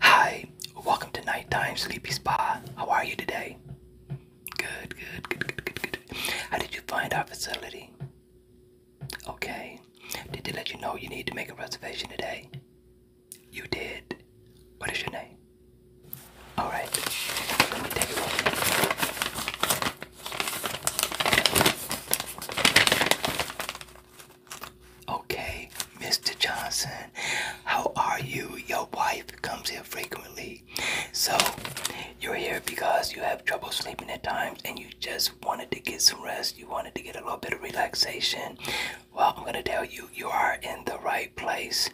Hi, welcome to Nighttime Sleepy Spa. How are you today? Good, good, good, good, good, good. How did you find our facility? Okay. Did they let you know you need to make a reservation today? You did. What is your name? Alright. Okay, Mr. Johnson, how are you? Your wife comes here frequently. So, you're here because you have trouble sleeping at times and you just wanted to get some rest. You wanted to get a little bit of relaxation. Well, I'm going to tell you, you are in the right place.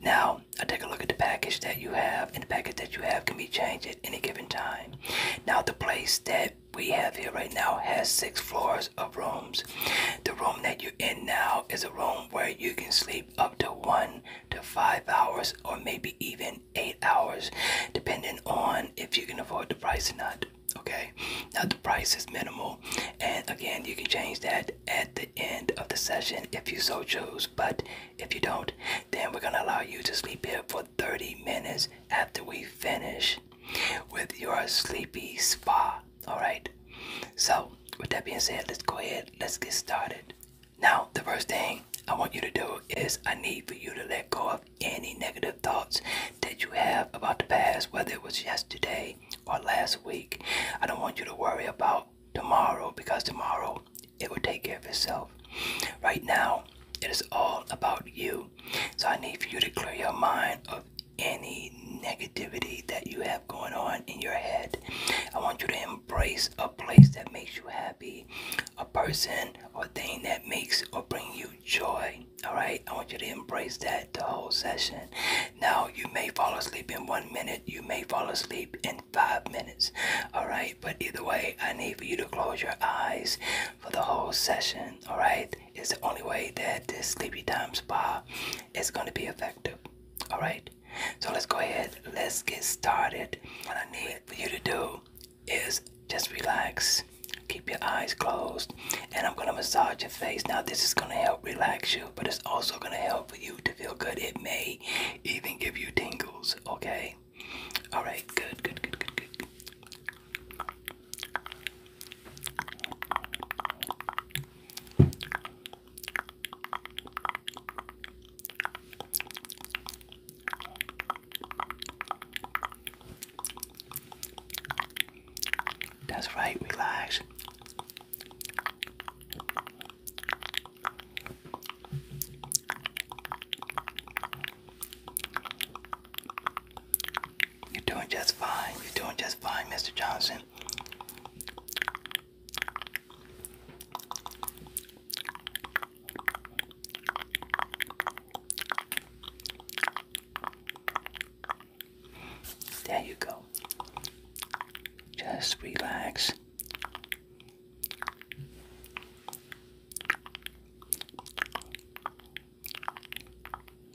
Now, I take a look at the package that you have, and the package that you have can be changed at any given time. Now, the place that we have here right now has six floors of rooms. The room that you're in now is a room where you can sleep up to one to five hours or maybe even eight hours, depending on if you can afford the price or not. Okay, now the price is minimal, and again, you can change that at the end of the session if you so choose. But if you don't, then we're gonna allow you to sleep here for 30 minutes after we finish with your sleepy spa Alright, so with that being said, let's go ahead, let's get started. Now, the first thing I want you to do is I need for you to let go of any negative thoughts that you have about the past, whether it was yesterday or last week. I don't want you to worry about tomorrow because tomorrow it will take care of itself. Right now, it is all about you. So I need for you to clear your mind of any negativity that you have going on in your head. I want you to embrace a place that makes you happy, a person or thing that makes or bring you joy. All right, I want you to embrace that the whole session. Now, you may fall asleep in one minute, you may fall asleep in five minutes. All right, but either way, I need for you to close your eyes for the whole session. All right, is the only way that this sleepy time spa is going to be effective. All right, so let's go ahead. Let's get started. What I need for you to do is just relax, keep your eyes closed, and I'm going to massage your face. Now, this is going to help relax you, but it's also going to help for you to feel good. It may even give you tingles, okay? All right, good, good, good, good, good. That's right, relax. You're doing just fine. You're doing just fine, Mr. Johnson. There you go. Just relax.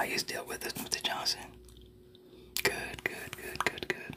I just deal with this, Mr. Johnson? Good, good, good, good, good.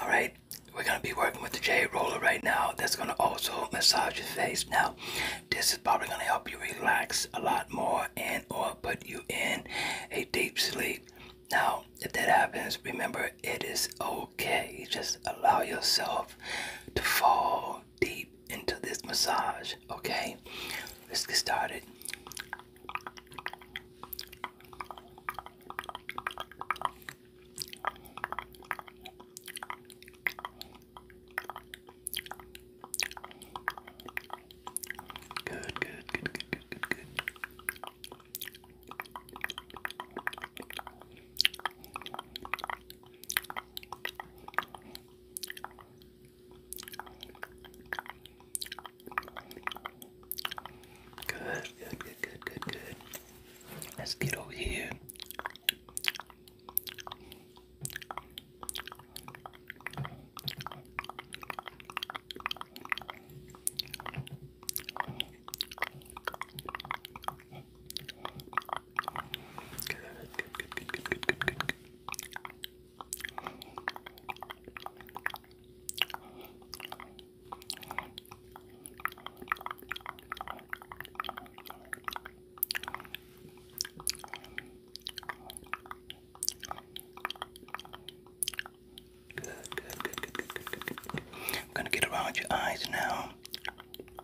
All right, we're gonna be working with the J roller right now. That's gonna also massage your face. Now, this is probably gonna help you relax a lot more and or put you in a deep sleep. Now, if that happens, remember it is okay. Just allow yourself to fall deep into this massage, okay? Let's get started. Good, good, good, good, good, good, Good, good, good, good, good, good. Let's get over here. Good, good, good, good, good, good, good, good. Good, good, good, good, good, good, good, good. I'm gonna get around your eyes now.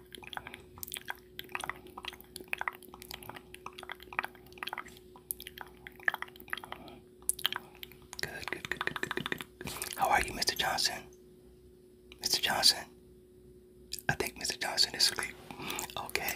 Good, good, good, good, good, good, good. How are you, Mr. Johnson? Mr. Johnson? I think Mr. Johnson is asleep. Okay.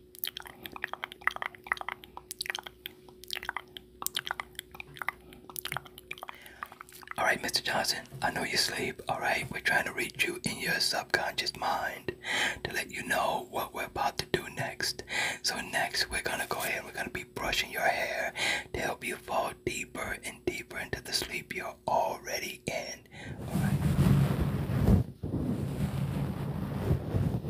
Alright, Mr. Johnson, I know you sleep. Alright, we're trying to reach you in your subconscious mind to let you know what we're about to do next. So, next, we're gonna go ahead, we're gonna be brushing your hair to help you fall deeper and deeper into the sleep you're already in. Alright.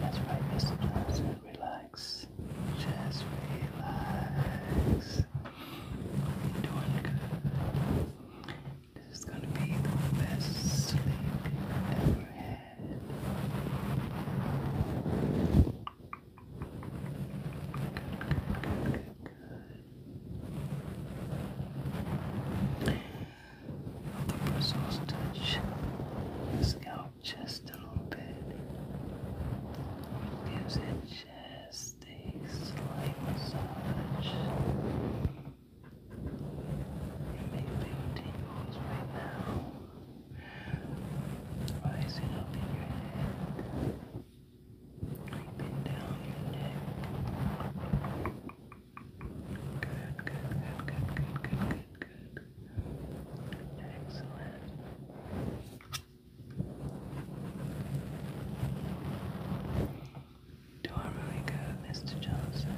That's right, Mr. Johnson. Relax. Just relax. You're doing good. This is gonna be the best sleep ever good, good. The bristles touch the scalp just a little bit. Gives it just a slight massage. It may be tingles right now rising up in your head, creeping down your neck. Good, good, good, good, good, good, good, good. Excellent. Doing really good, Mr. Johnson.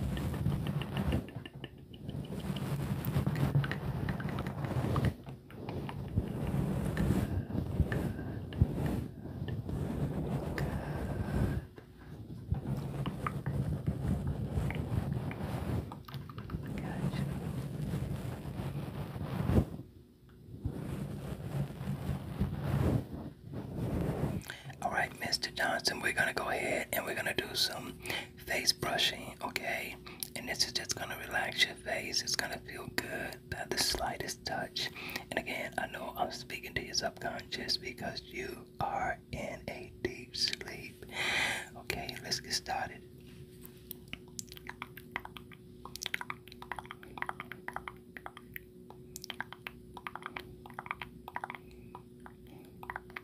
All right, Mr. Johnson, we're going to go ahead and we're going to do some face brushing, okay? And this is just gonna relax your face. It's gonna feel good at the slightest touch. And again, I know I'm speaking to your subconscious because you are in a deep sleep. Okay, let's get started.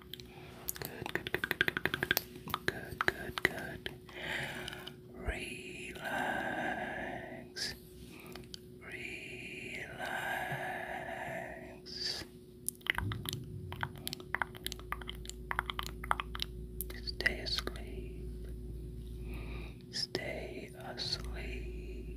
Good, good, good, good, good, good, good, good, good, Relax. Relax. Stay asleep. Stay asleep.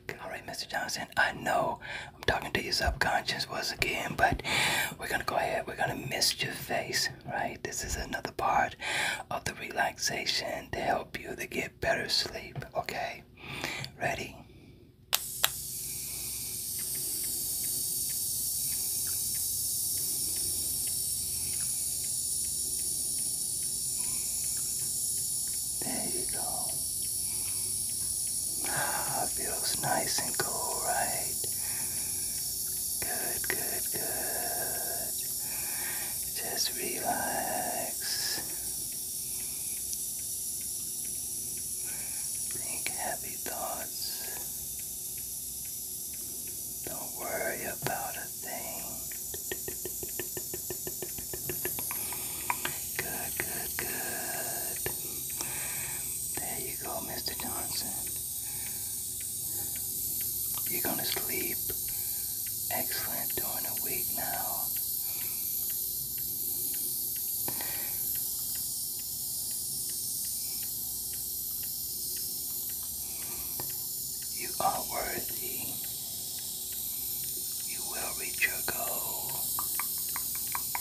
All right, Mr. Johnson, I know I'm talking to your subconscious once again, but we're going to go ahead. We're going to mist your face, right? This is another part of the relaxation to help you to get better sleep, okay? Ready? There you go. Ah, feels nice and cool, right? Good, good, good. Just relax. Think happy thoughts. Don't worry about a thing. Good, good, good. There you go, Mr. Johnson. You're gonna sleep excellent during the week now. You are worthy. You will reach your goal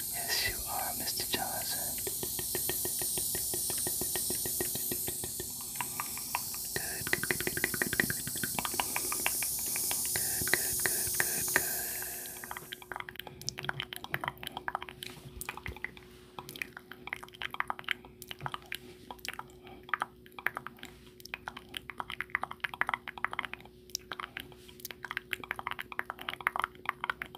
Yes, you are, Mr. Johnson. Good, good, good, good, good, good, good, good. Good, good, good, good,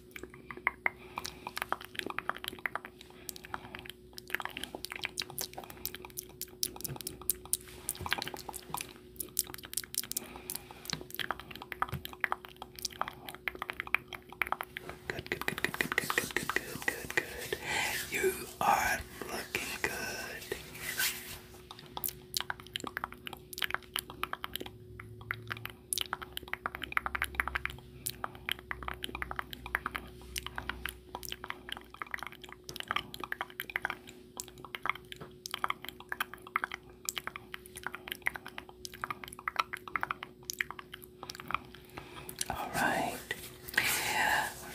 Good, good, good, good, good, good, good, good, good, good. You are looking good. Good, all right.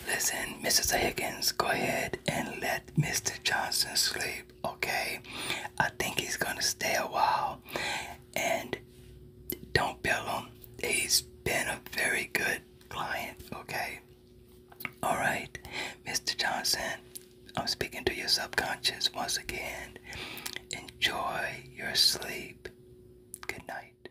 Listen, Mrs. Higgins, go ahead and let Mr. Johnson sleep, okay? I think he's gonna stay a while and don't bill him. He's been a very good client, okay? All right, Mr. Johnson, I'm speaking to your subconscious once again. Enjoy your sleep. Good night.